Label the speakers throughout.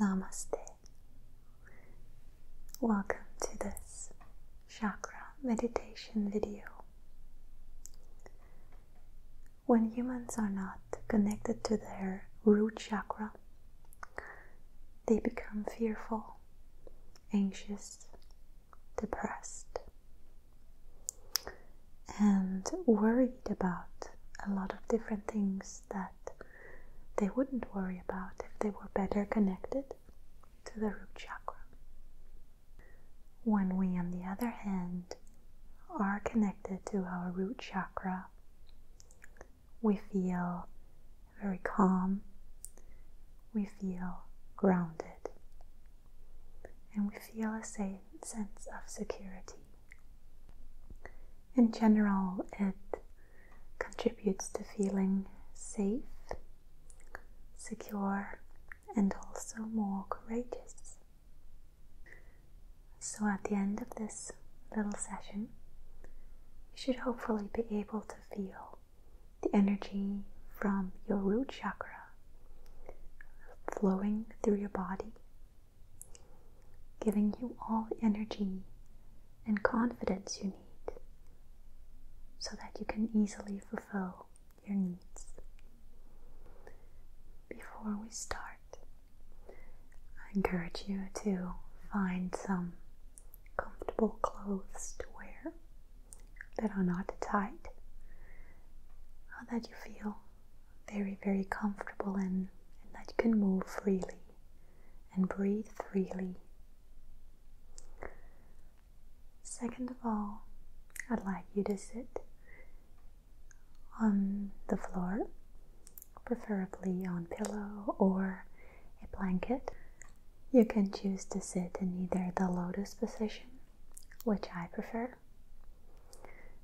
Speaker 1: Namaste. Welcome to this chakra meditation video. When humans are not connected to their root chakra, they become fearful, anxious, depressed, and worried about a lot of different things that they wouldn't worry about if they were better connected to the root chakra. When we, on the other hand, are connected to our root chakra, we feel very calm, we feel grounded, and we feel a sense of security. In general, it contributes to feeling safe secure, and also more courageous. So, at the end of this little session, you should hopefully be able to feel the energy from your root chakra flowing through your body, giving you all the energy and confidence you need so that you can easily fulfill your needs. Before we start, I encourage you to find some comfortable clothes to wear that are not tight, that you feel very, very comfortable in, and that you can move freely and breathe freely. Second of all, I'd like you to sit on the floor, preferably on pillow or a blanket. You can choose to sit in either the lotus position, which I prefer,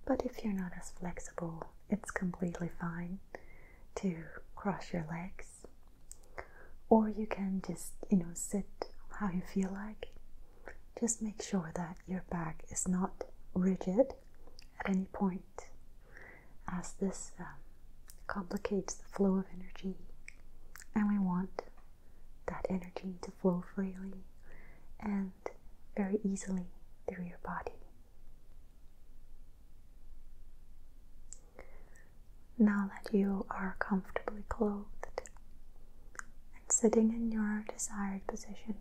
Speaker 1: but if you're not as flexible, it's completely fine to cross your legs, or you can just, you know, sit how you feel like. Just make sure that your back is not rigid at any point, as this um, complicates the flow of energy, and we want that energy to flow freely and very easily through your body. Now that you are comfortably clothed sitting in your desired position.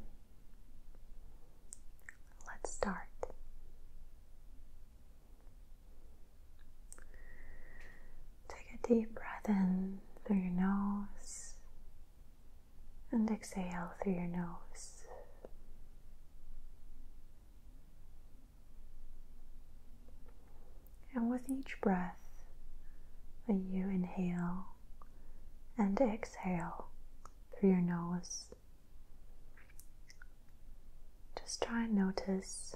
Speaker 1: Let's start. Take a deep breath in through your nose and exhale through your nose. And with each breath that you inhale and exhale through your nose, just try and notice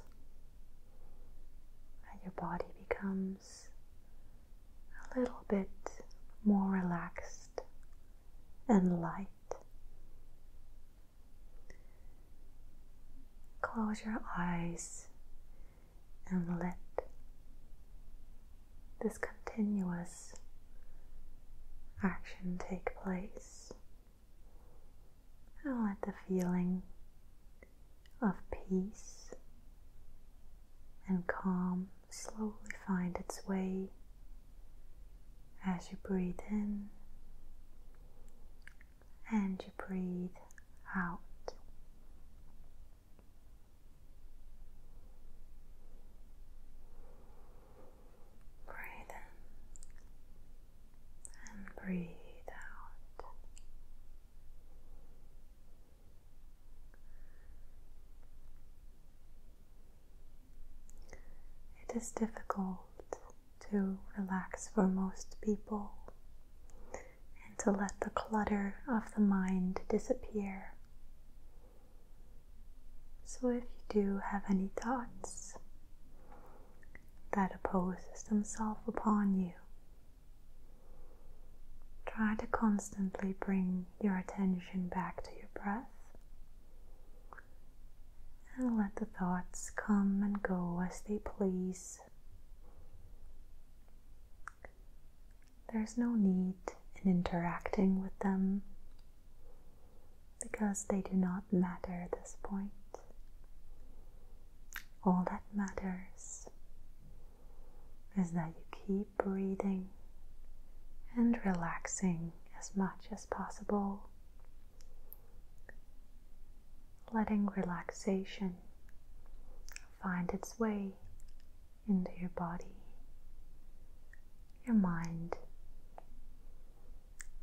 Speaker 1: that your body becomes a little bit more relaxed and light. Close your eyes and let this continuous action take place and let the feeling of peace and calm slowly find its way as you breathe in and you breathe out. Breathe in and breathe out. It is difficult to relax for most people and to let the clutter of the mind disappear. So, if you do have any thoughts that opposes themselves upon you, try to constantly bring your attention back to your breath and let the thoughts come and go as they please. There's no need in interacting with them because they do not matter at this point. All that matters is that you keep breathing and relaxing as much as possible, letting relaxation find its way into your body, your mind,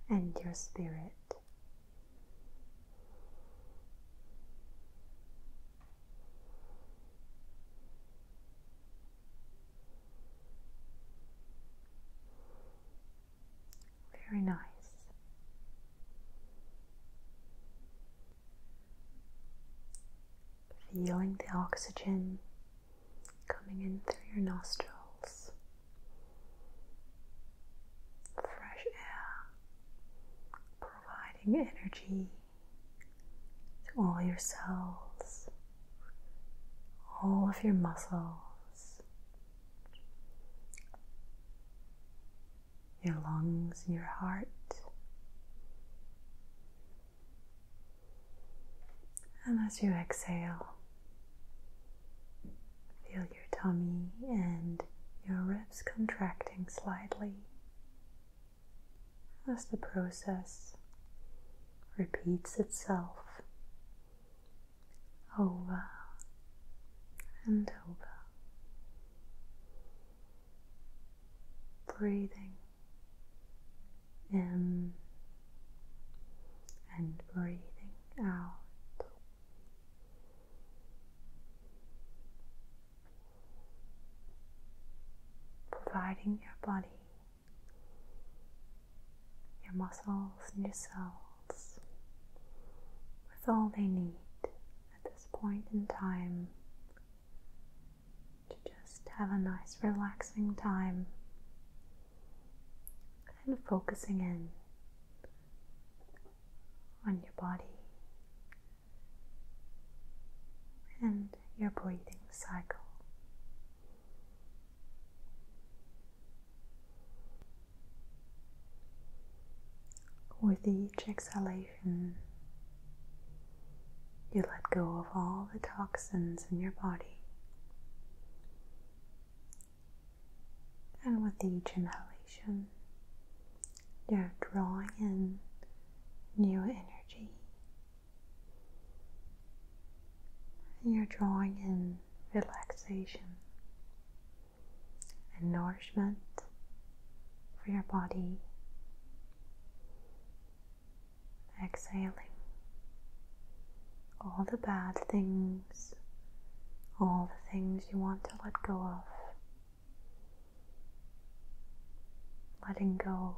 Speaker 1: and your spirit. Very nice. Feeling the oxygen coming in through your nostrils, fresh air providing energy to all your cells, all of your muscles your lungs, your heart. And as you exhale, feel your tummy and your ribs contracting slightly as the process repeats itself over and over breathing in and breathing out. Providing your body, your muscles, and your cells with all they need at this point in time to just have a nice relaxing time and focusing in on your body and your breathing cycle. With each exhalation, you let go of all the toxins in your body. And with each inhalation, you're drawing in new energy. And you're drawing in relaxation and nourishment for your body exhaling all the bad things, all the things you want to let go of, letting go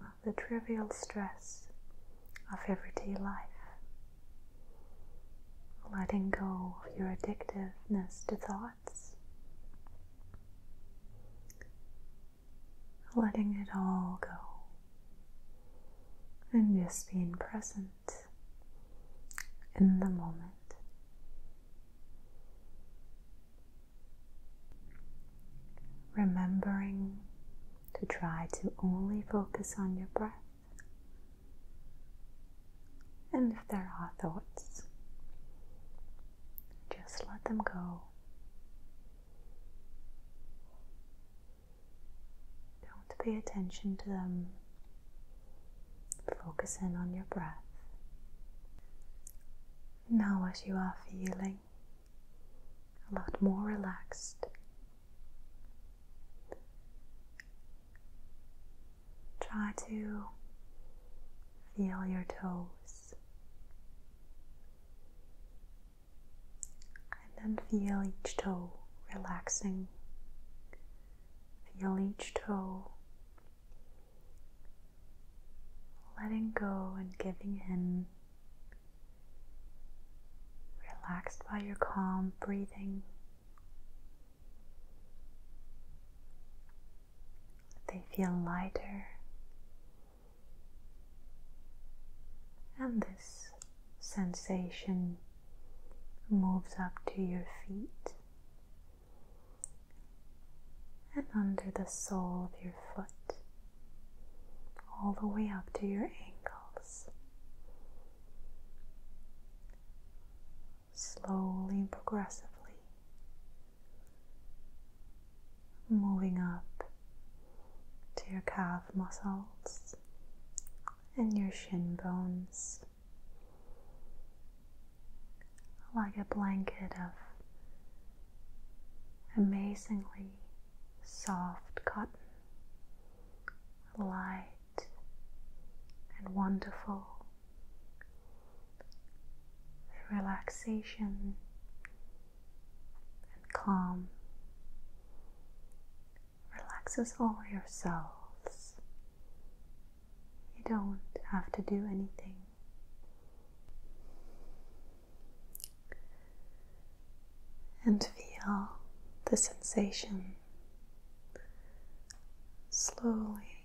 Speaker 1: of the trivial stress of everyday life, letting go of your addictiveness to thought letting it all go, and just being present in the moment. Remembering to try to only focus on your breath and if there are thoughts, just let them go. Don't pay attention to them. Focus in on your breath. Now, as you are feeling a lot more relaxed, Try to feel your toes and then feel each toe relaxing. Feel each toe letting go and giving in. Relaxed by your calm breathing. They feel lighter, and this sensation moves up to your feet and under the sole of your foot, all the way up to your ankles slowly and progressively, moving up to your calf muscles and your shin bones like a blanket of amazingly soft cotton, light and wonderful. relaxation and calm relaxes all your cells. You don't have to do anything. And feel the sensation slowly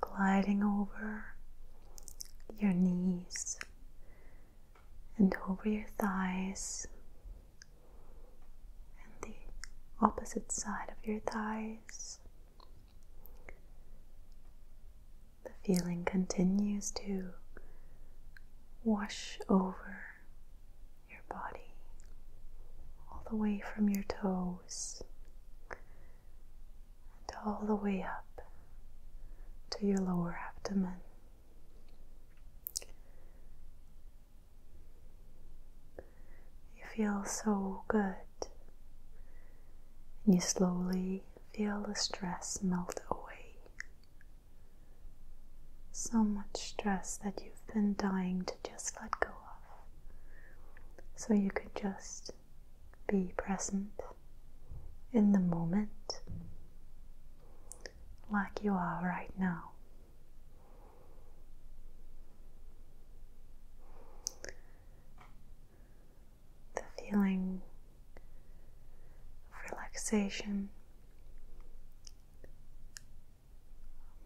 Speaker 1: gliding over your knees and over your thighs and the opposite side of your thighs. The feeling continues to wash over your body all the way from your toes and all the way up to your lower abdomen. You feel so good, and you slowly feel the stress melt away. So much stress that you've been dying to just let go of. So you could just be present in the moment like you are right now. The feeling of relaxation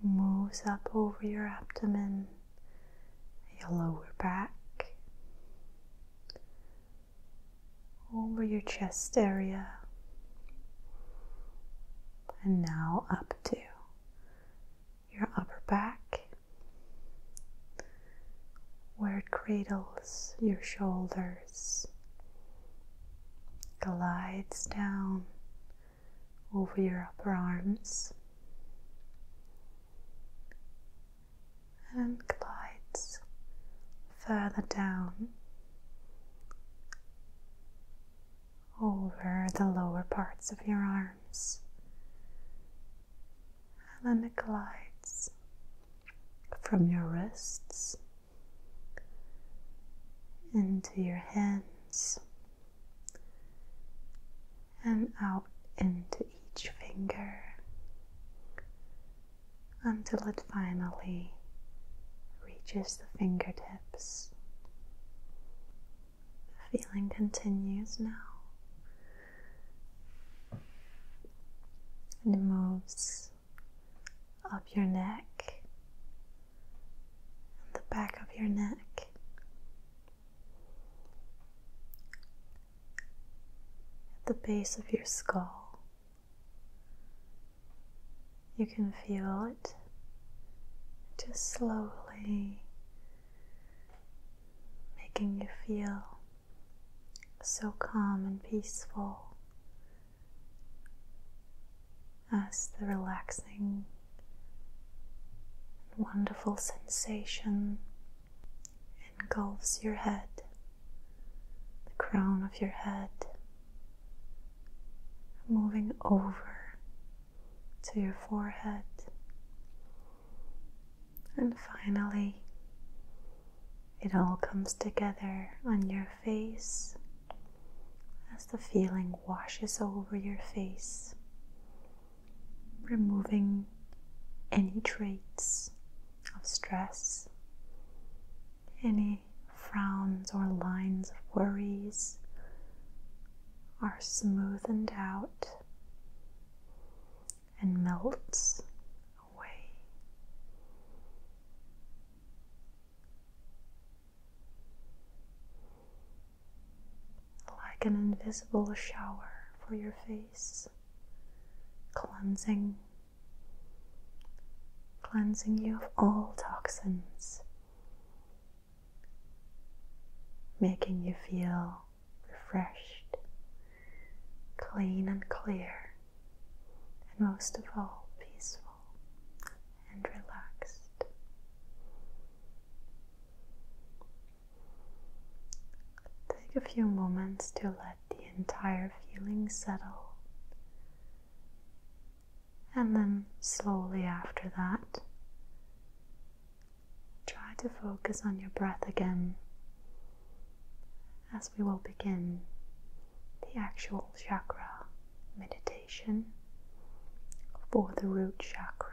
Speaker 1: moves up over your abdomen your lower back, over your chest area, and now up to your upper back where it cradles your shoulders, glides down over your upper arms and glides further down over the lower parts of your arms and then it glides from your wrists into your hands and out into each finger until it finally reaches the fingertips. The feeling continues now and it moves up your neck and the back of your neck at the base of your skull, you can feel it just slowly making you feel so calm and peaceful as the relaxing wonderful sensation engulfs your head, the crown of your head, moving over to your forehead, and finally. It all comes together on your face as the feeling washes over your face removing any traits of stress, any frowns or lines of worries are smoothed out and melts away like an invisible shower for your face, cleansing, cleansing you of all toxins, making you feel refreshed, clean and clear, and most of all, peaceful and relaxed. Take a few moments to let the entire feeling settle. And then, slowly after that, try to focus on your breath again as we will begin the actual chakra meditation for the root chakra.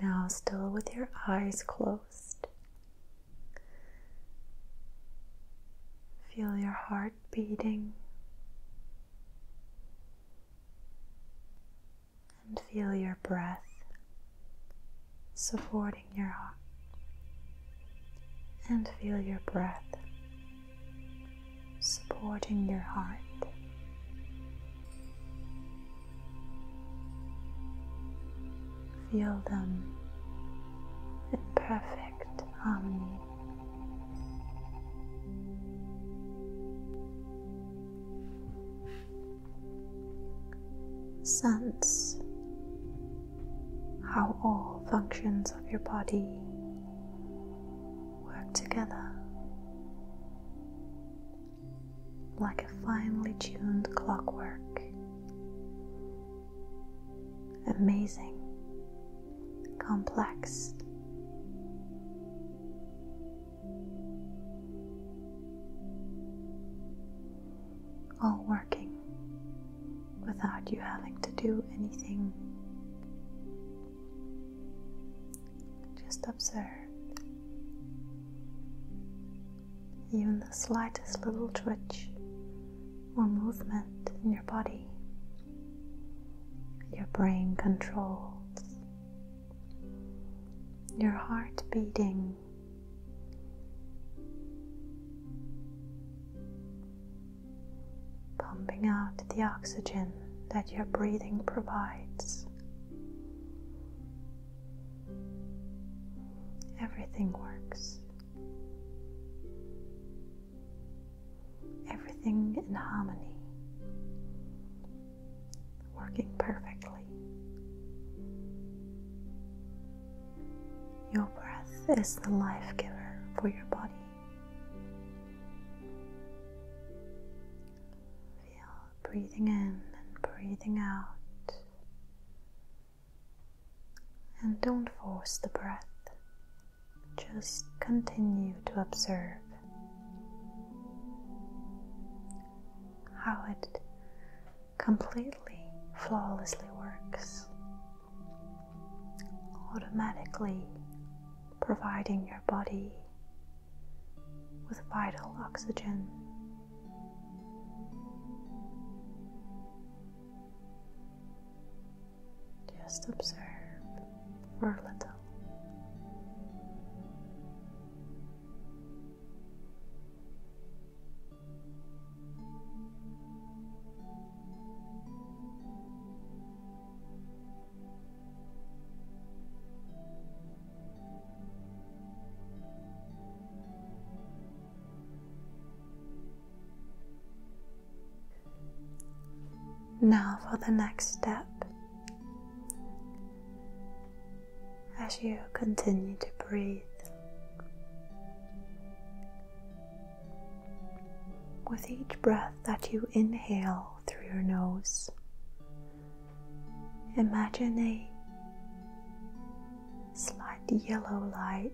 Speaker 1: Now, still with your eyes closed, feel your heart beating and feel your breath supporting your heart and feel your breath supporting your heart feel them in perfect harmony Sense how all functions of your body work together like a finely tuned clockwork. Amazing, complex, all working without you having to do anything. Just observe even the slightest little twitch or movement in your body. Your brain controls your heart beating. Pumping out the oxygen that your breathing provides. Everything works. Everything in harmony working perfectly. Your breath is the life giver for your body. Feel breathing in and breathing out. And don't force the breath. Just continue to observe how it completely flawlessly works, automatically providing your body with vital oxygen. Just observe or little. Now for the next step, as you continue to breathe with each breath that you inhale through your nose, imagine a slight yellow light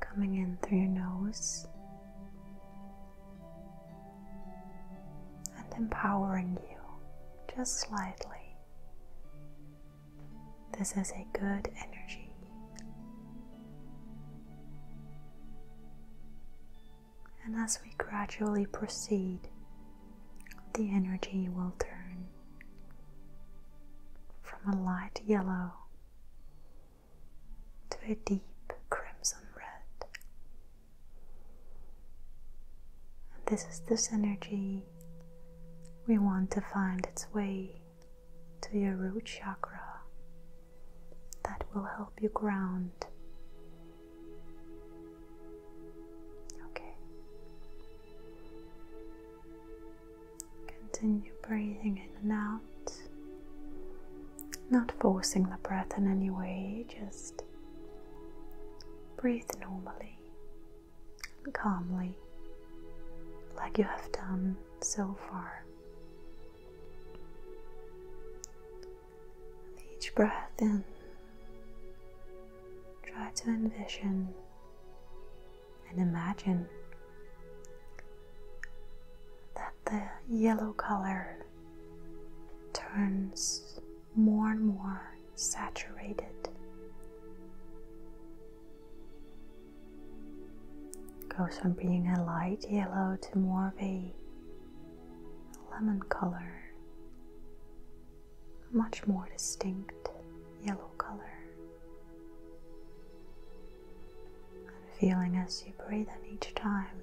Speaker 1: coming in through your nose and empowering you just slightly. This is a good energy. And as we gradually proceed, the energy will turn from a light yellow to a deep crimson red. And this is this energy we want to find its way to your root chakra that will help you ground. Okay. Continue breathing in and out. Not forcing the breath in any way, just breathe normally and calmly, like you have done so far. With each breath in, try to envision and imagine that the yellow color turns more and more saturated, goes from being a light yellow to more of a lemon color, much more distinct yellow color. And feeling as you breathe in each time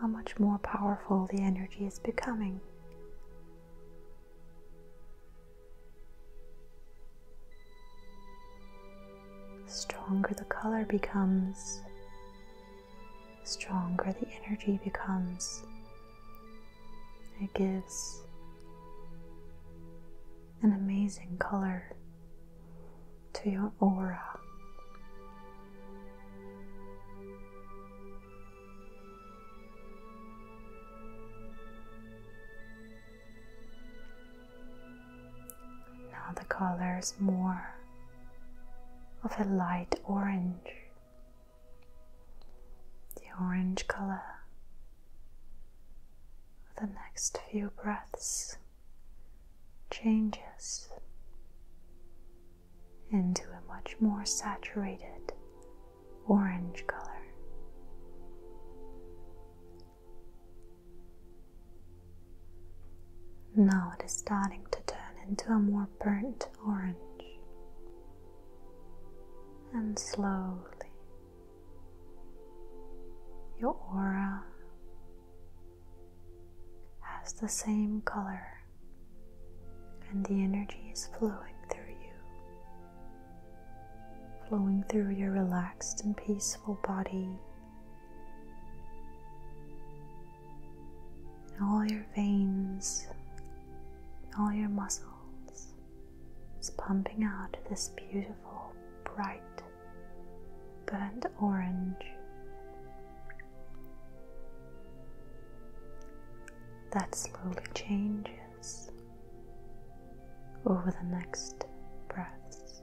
Speaker 1: how much more powerful the energy is becoming. stronger the color becomes, stronger the energy becomes. It gives an amazing color to your aura. Now the color is more of a light orange. The orange color for the next few breaths changes into a much more saturated orange color. Now it is starting to turn into a more burnt orange and slowly your aura has the same color, and the energy is flowing through you, flowing through your relaxed and peaceful body. all your veins, all your muscles is pumping out this beautiful, bright burnt orange. That slowly changes over the next breaths.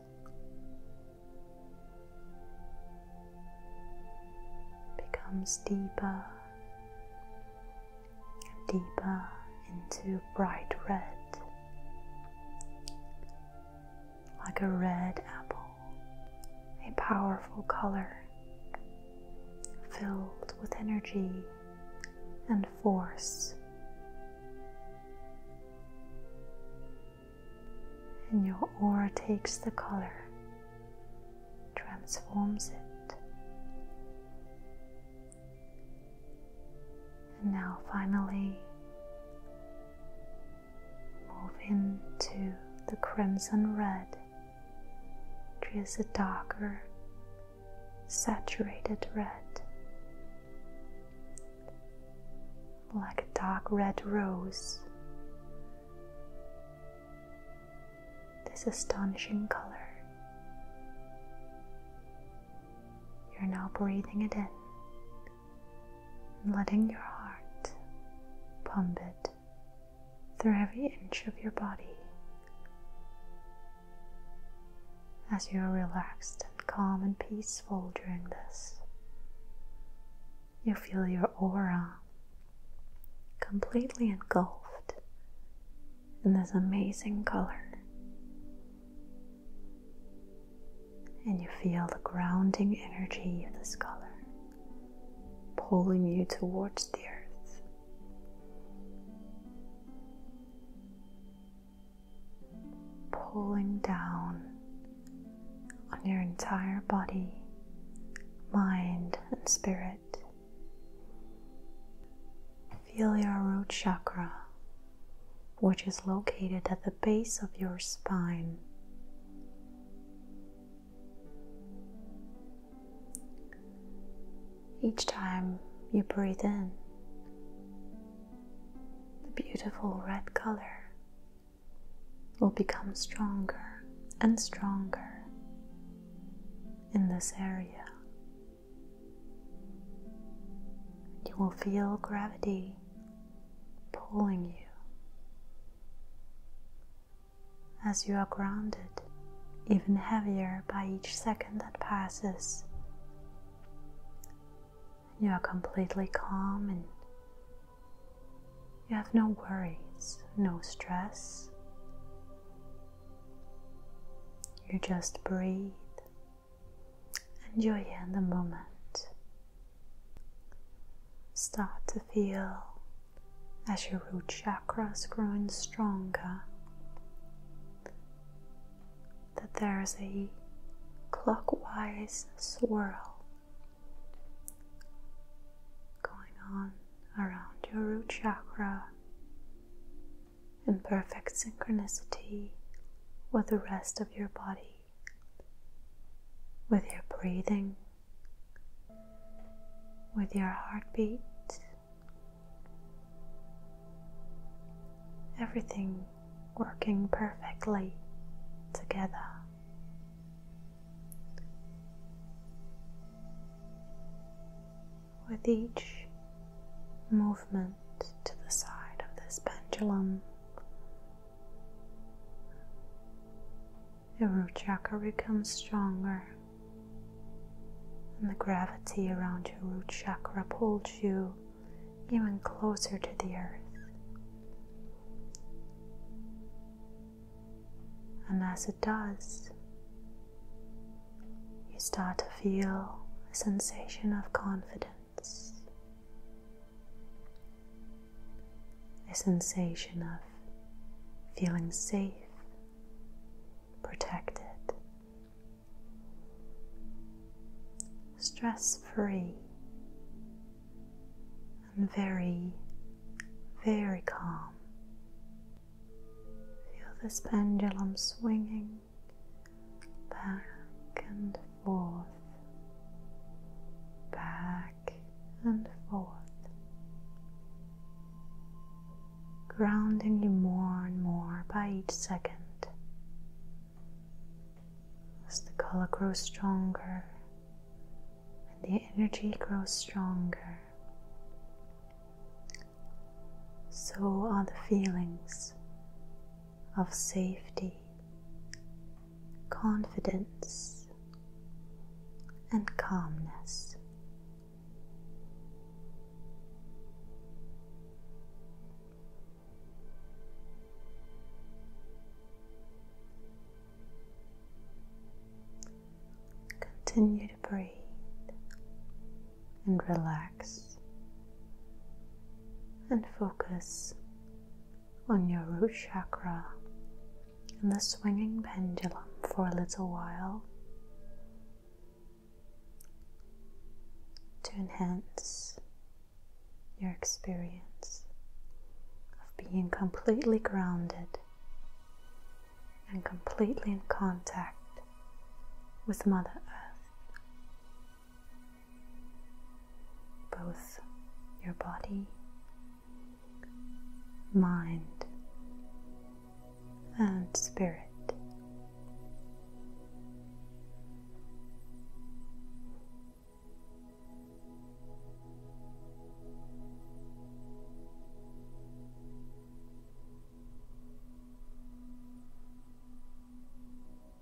Speaker 1: Becomes deeper and deeper into bright red like a red apple, a powerful color filled with energy and force. And your aura takes the color, transforms it. And now, finally, move into the crimson red, which is a darker, saturated red, like a dark red rose. This astonishing color. You're now breathing it in and letting your heart pump it through every inch of your body as you are relaxed and calm and peaceful during this. You feel your aura completely engulfed in this amazing color and you feel the grounding energy of this color pulling you towards the earth. Pulling down on your entire body, mind, and spirit. Feel your root chakra which is located at the base of your spine. Each time you breathe in, the beautiful red color will become stronger and stronger in this area. You will feel gravity pulling you as you are grounded even heavier by each second that passes. You are completely calm and you have no worries, no stress. You just breathe and you're in the moment. Start to feel as your root chakra is growing stronger that there is a clockwise swirl going on around your root chakra in perfect synchronicity with the rest of your body with your breathing, with your heartbeat. Everything working perfectly together. With each movement to the side of this pendulum, your root chakra becomes stronger, and the gravity around your root chakra pulls you even closer to the earth. And as it does, you start to feel a sensation of confidence. A sensation of feeling safe, protected, stress free, and very, very calm. Feel this pendulum swinging back and forth, back and forth, grounding you more and more by each second as the color grows stronger and the energy grows stronger. So are the feelings of safety, confidence, and calmness. Continue to breathe and relax and focus on your root chakra and the swinging pendulum for a little while to enhance your experience of being completely grounded and completely in contact with Mother Earth both your body, mind, and spirit.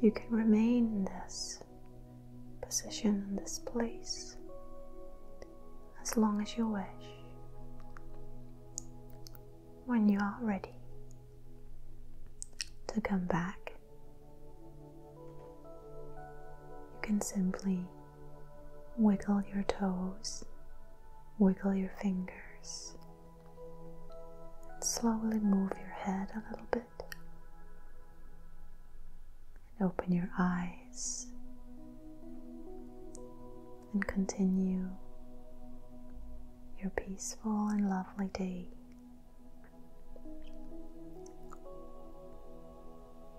Speaker 1: You can remain in this position, in this place, as long as you wish. When you are ready to come back, you can simply Wiggle your toes, wiggle your fingers, slowly move your head a little bit. And open your eyes and continue your peaceful and lovely day.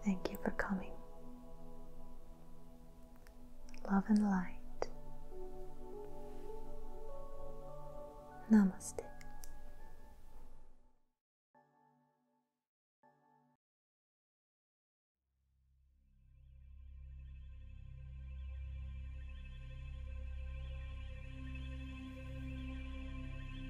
Speaker 1: Thank you for coming. Love and light. Namaste.